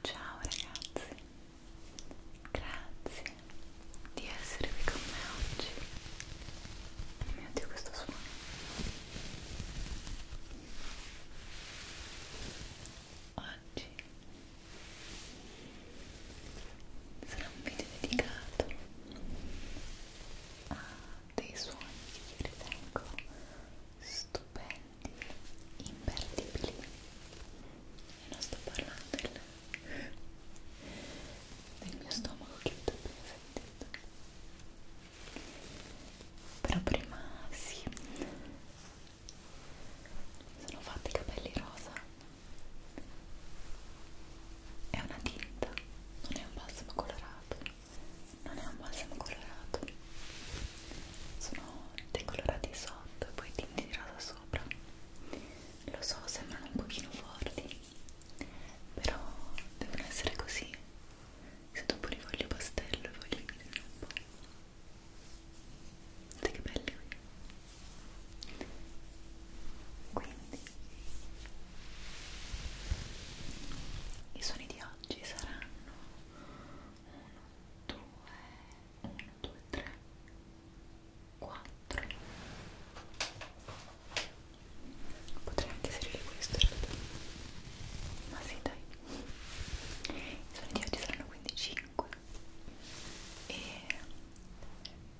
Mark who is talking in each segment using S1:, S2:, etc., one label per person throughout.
S1: Ciao ragazzi, grazie di essere qui con me oggi. Oh mio dio questo suono. Oggi sarà un video dedicato a dei suoni che ritengo stupendi imperdibili e non sto parlando del, del mio stomaco che avete appena sentito però prima sì sono fatti i capelli rosa è una tinta non è un balsamo colorato non è un balsamo colorato sono decolorati sotto e poi tintirata sopra lo so sembrano un pochino forti però devono essere così se dopo li voglio pastello e voglio dividere un po' vedete che belli quindi i suoni di oggi saranno 1, 2, 1, 2, 3, 4 potrei anche servire questo in realtà ma sì dai i suoni di oggi saranno quindi 5 e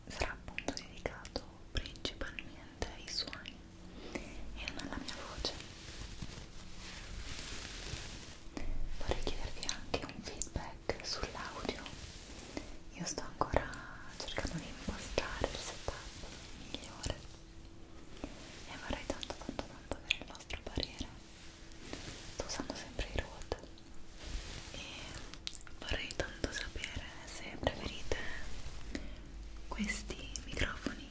S1: sarà appunto dedicato principalmente ai suoni e non alla mia voce vorrei chiedervi anche un feedback sull'audio io sto ancora cercando di impostare il setup migliore e vorrei tanto tanto tanto avere il vostro parere sto usando sempre i road e vorrei tanto sapere se preferite questi microfoni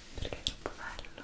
S1: perché è troppo bello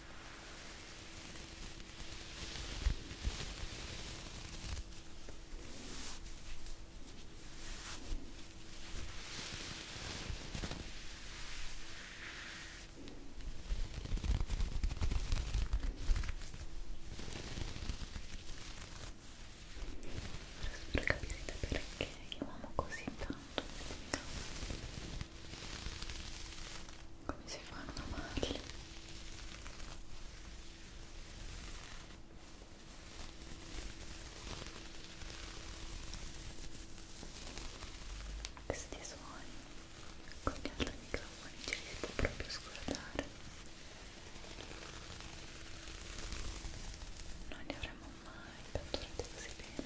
S1: Spero capirete perché chiamamo così tanto come si fa una macchina questi suoni con gli altri microfoni ci si può proprio scordare non li avremmo mai catturati così bene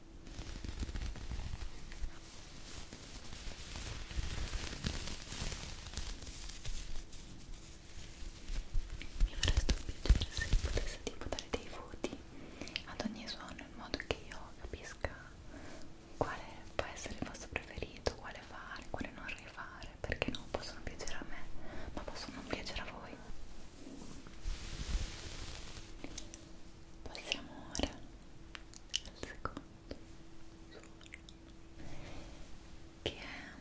S1: Mi farebbe un piacere se potesse tipo dare dei voti ad ogni suono in modo che io capisca quale può essere il vostro preferito, quale fare, quale non rifare, perché non possono piacere a me, ma possono non piacere a voi voi passiamo ora al secondo che è mm,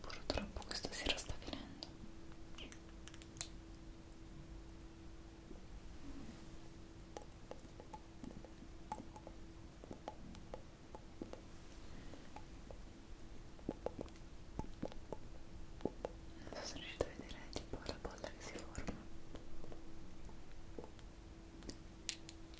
S1: Purtroppo questa sera sta finendo. Non so se riuscite a vedere tipo la bolla che si forma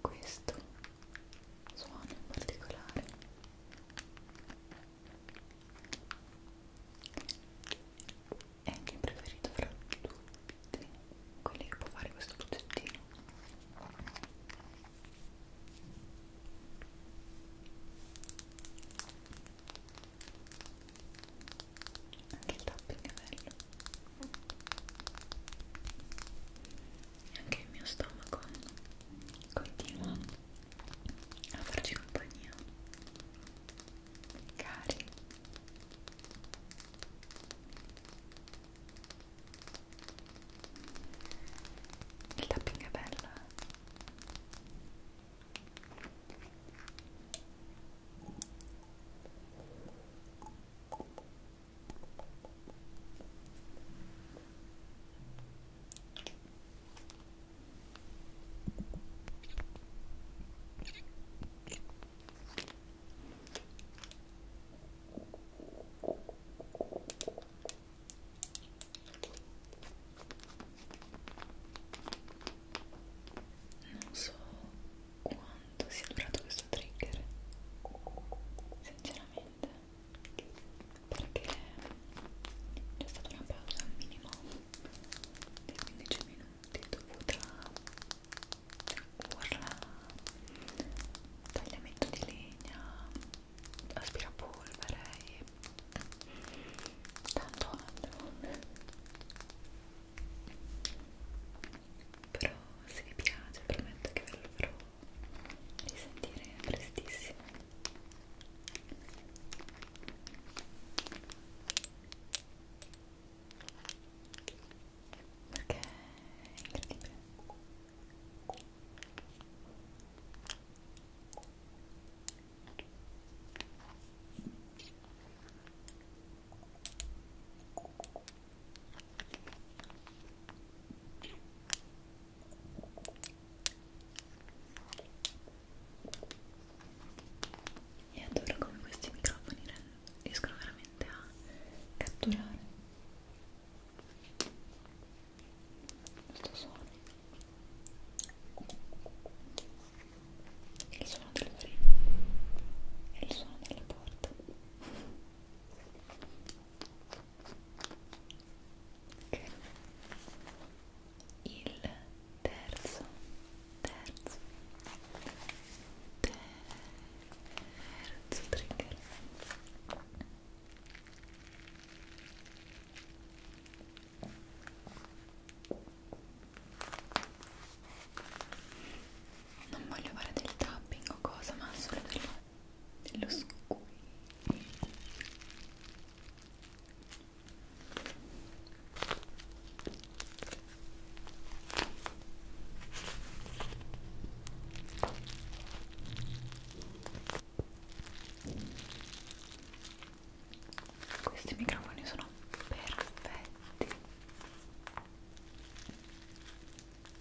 S1: questo suono in particolare è anche il preferito fra tutti quelli che può fare questo progettino anche il tapping è bello e anche il mio stomaco continua a farci compagnia cari il tapping è bello eh non so quanto sia durato questo trigger sinceramente perché c'è stata una pausa minimo di 15 minuti dovuta alla tagliamento di legna, aspirapolvere e tanto altro però se vi piace prometto che ve lo farò risentire prestissimo perché è incredibile e adoro come questi microfoni riescono veramente a catturare questo suono il suono del freno e il suono della porta okay. il terzo terzo terzo terzo trigger non voglio fare del tapping o cosa ma solo dello, dello squeeze questi microfoni sono perfetti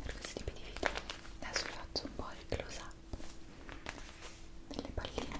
S1: per questi tipi di video. Adesso vi faccio un po' il close up delle palline.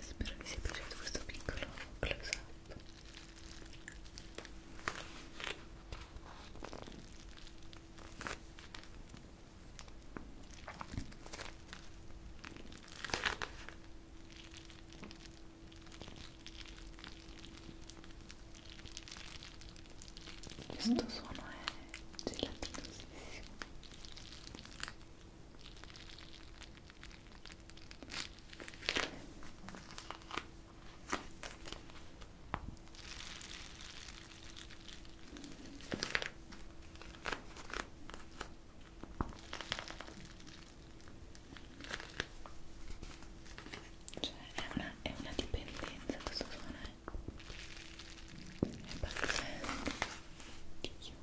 S1: spero vi sia piaciuto questo piccolo close up questo mm. suono è gelatinosissimo cioè è una, è una dipendenza questo suono, eh. è pazzesco. Dio.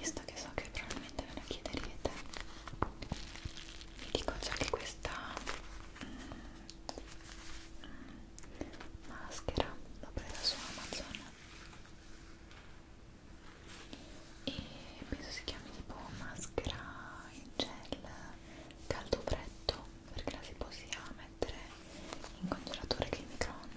S1: visto che so che probabilmente ve lo chiederete vi dico già che questa mm, mm, maschera l'ho presa su Amazon e penso si chiami tipo maschera in gel caldo freddo perché la si può sia mettere in congelatore che in microonde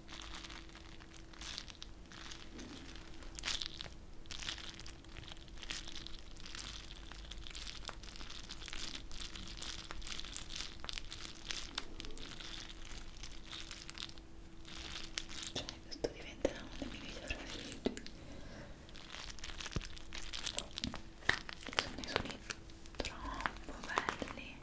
S1: Cioè, questo diventerà uno dei miei video preferiti. Sono i suoni troppo belli.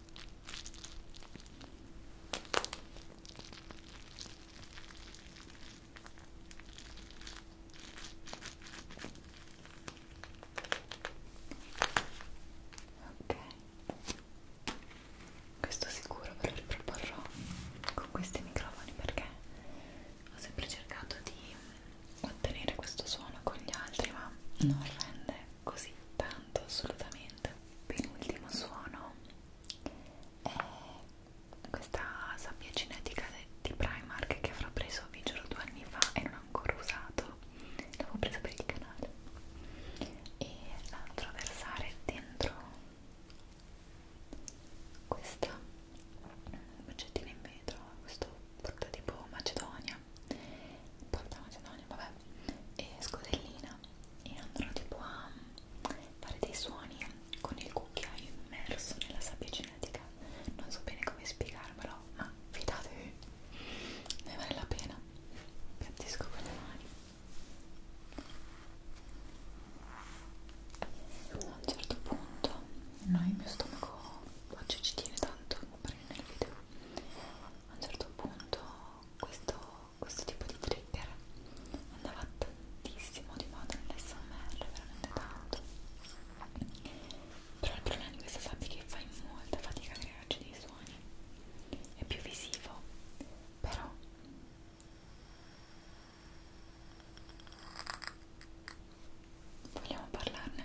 S1: Ok, questo sicuro ve lo proporrò con questi microfoni perché ho sempre cercato di ottenere questo suono con gli altri ma non rende così tanto assolutamente penultimo suono è questa sabbia cinetica di Primark che avrò preso vi giuro due anni fa e non ho ancora usato l'avevo presa per il canale e la andrò a versare dentro questa boccettina in vetro questo porta tipo macedonia porta macedonia vabbè e scodellina e andrò tipo a fare dei suoni con il cucchiaio immerso nella sabbia genetica non so bene come spiegarmelo ma fidatevi ne vale la pena piattisco con le mani a un certo punto no, il mio stomaco oggi ci tiene tanto per il video a un certo punto questo questo tipo di trigger andava tantissimo di moda nell'SMR, veramente tanto però il problema di questa sabbia è che fai molta fatica a crearci dei suoni è più visivo però vogliamo parlarne?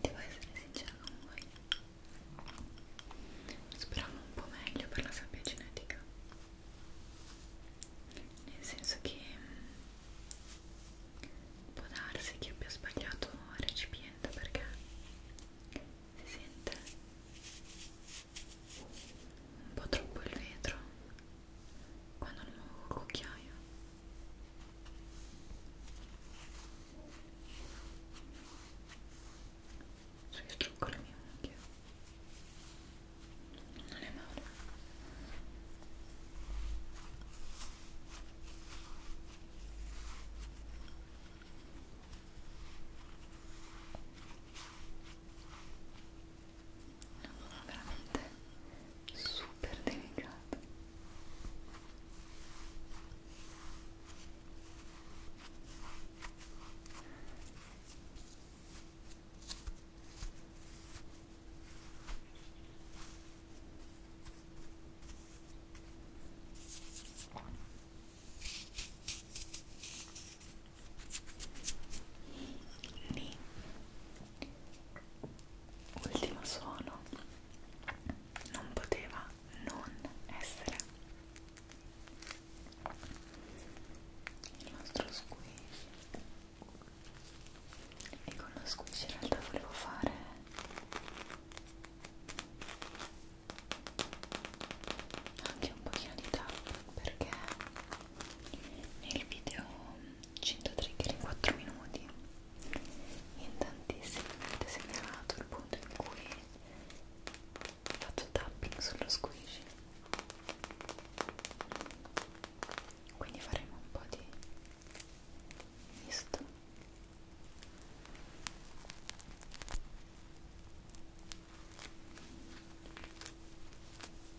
S1: Devo essere sincera con voi. Speravo un po' meglio per la sabbia genetica. Nel senso che mm, può darsi che abbia sbagliato recipiente perché si sente un po' troppo il vetro quando non muovo il cucchiaio so cioè, io trucco le mie unghie non è male è un dono veramente super delicato lì ultimo suono non poteva non essere il nostro squish e con lo squish in realtà volevo fare anche un pochino di tap perché nel video 100 trigger in 4 minuti in tantissimi avete segnalato il punto in cui faccio tapping sullo squishy quindi faremo un po' di misto ok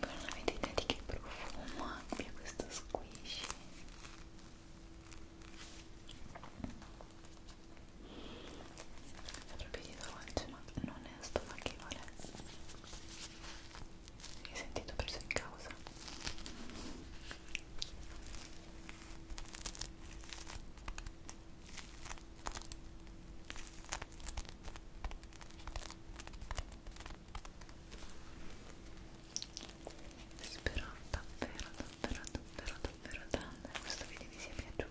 S1: non avete idea di che profumo abbia questo squishy è proprio di dolce ma non è stomachevole mi sentito preso in causa spero davvero davvero davvero davvero tanto che questo video vi sia piaciuto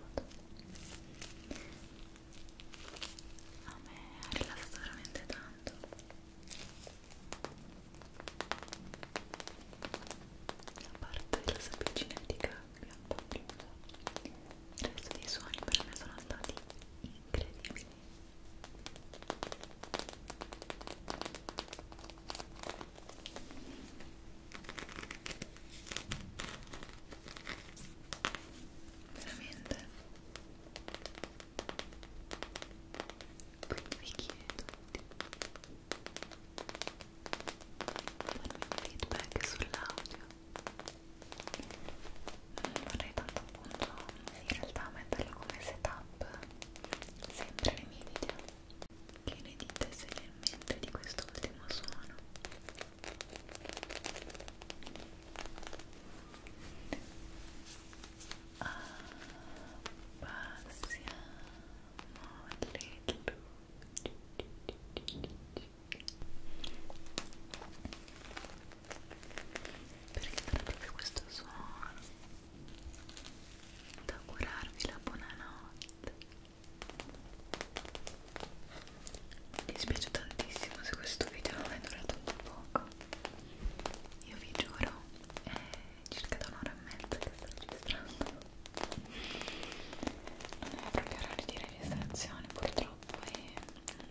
S1: a me ha rilassato veramente tanto a parte la sabbicinetica che è un po' chiusa il resto dei suoni per me sono stati incredibili veramente quindi vi chiedo di farmi un feedback sull'audio. Eh, vorrei tanto appunto in realtà metterlo come setup sempre nei miei video. Che ne dite seriamente di quest'ultimo suono? perché farà proprio questo suono da augurarvi la buonanotte Mi dispiace tantissimo se questo video non è durato un poco. Io vi giuro, è circa da un'ora e mezza che sto registrando. Non è proprio orario di registrazione, purtroppo, e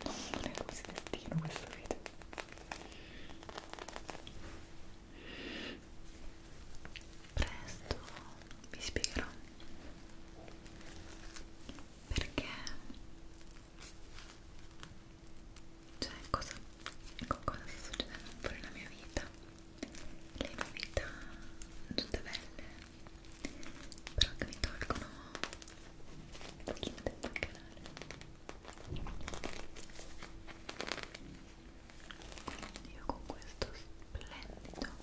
S1: non è così destino questo video. Presto vi spiegherò perché cioè cosa, cosa sta succedendo un po' nella mia vita le novità tutte belle però che mi tolgono un pochino tempo al canale quindi io con questo splendido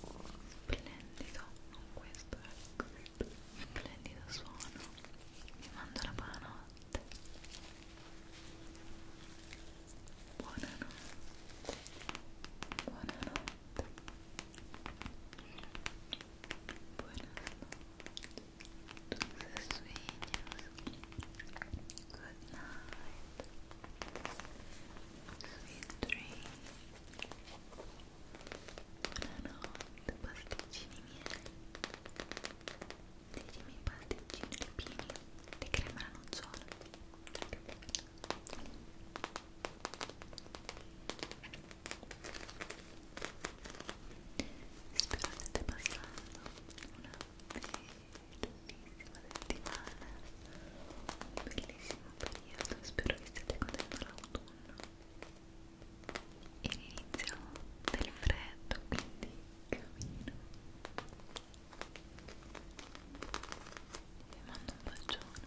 S1: splendido non questo, è questo ecco, splendido suono vi mando la buonanotte buonanotte buonanotte buonanotte tus sueños good night sweet dreams Buonanotte, pasticcini miei. Ditemi i pasticcini lupini di crema alla nocciola. Spero state passando una bellissima settimana, un bellissimo periodo. Spero che stiate godendo l'autunno e l'inizio del freddo quindi cammino e mando un bacione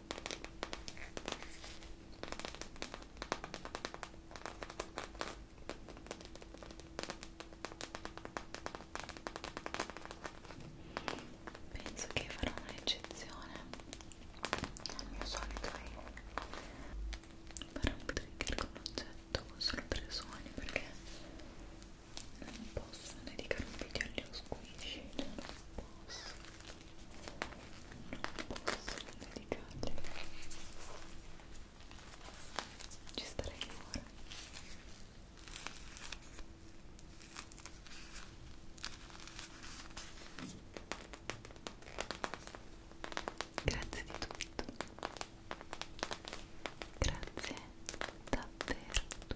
S1: Penso che farò un'eccezione al mio solito fare un trigger con oggetto solo per i suoni perché non posso dedicare un video agli oscuri, non posso non posso dedicarglielo ci starei ora grazie di tutto grazie davvero tutto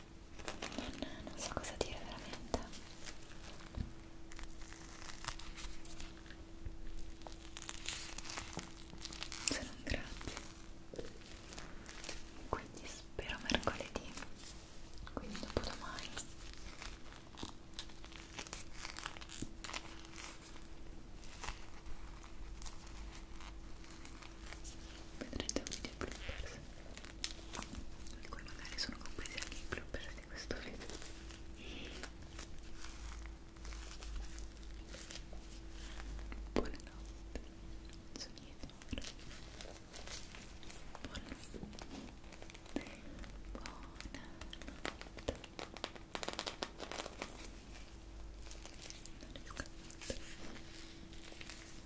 S1: non, non so cosa dire veramente se non grazie quindi spero mercoledì quindi dopo domani vedrete un video bloopers in cui magari sono compresi anche i bloopers di questo video buonanotte sognate ora buonanotte buonanotte non è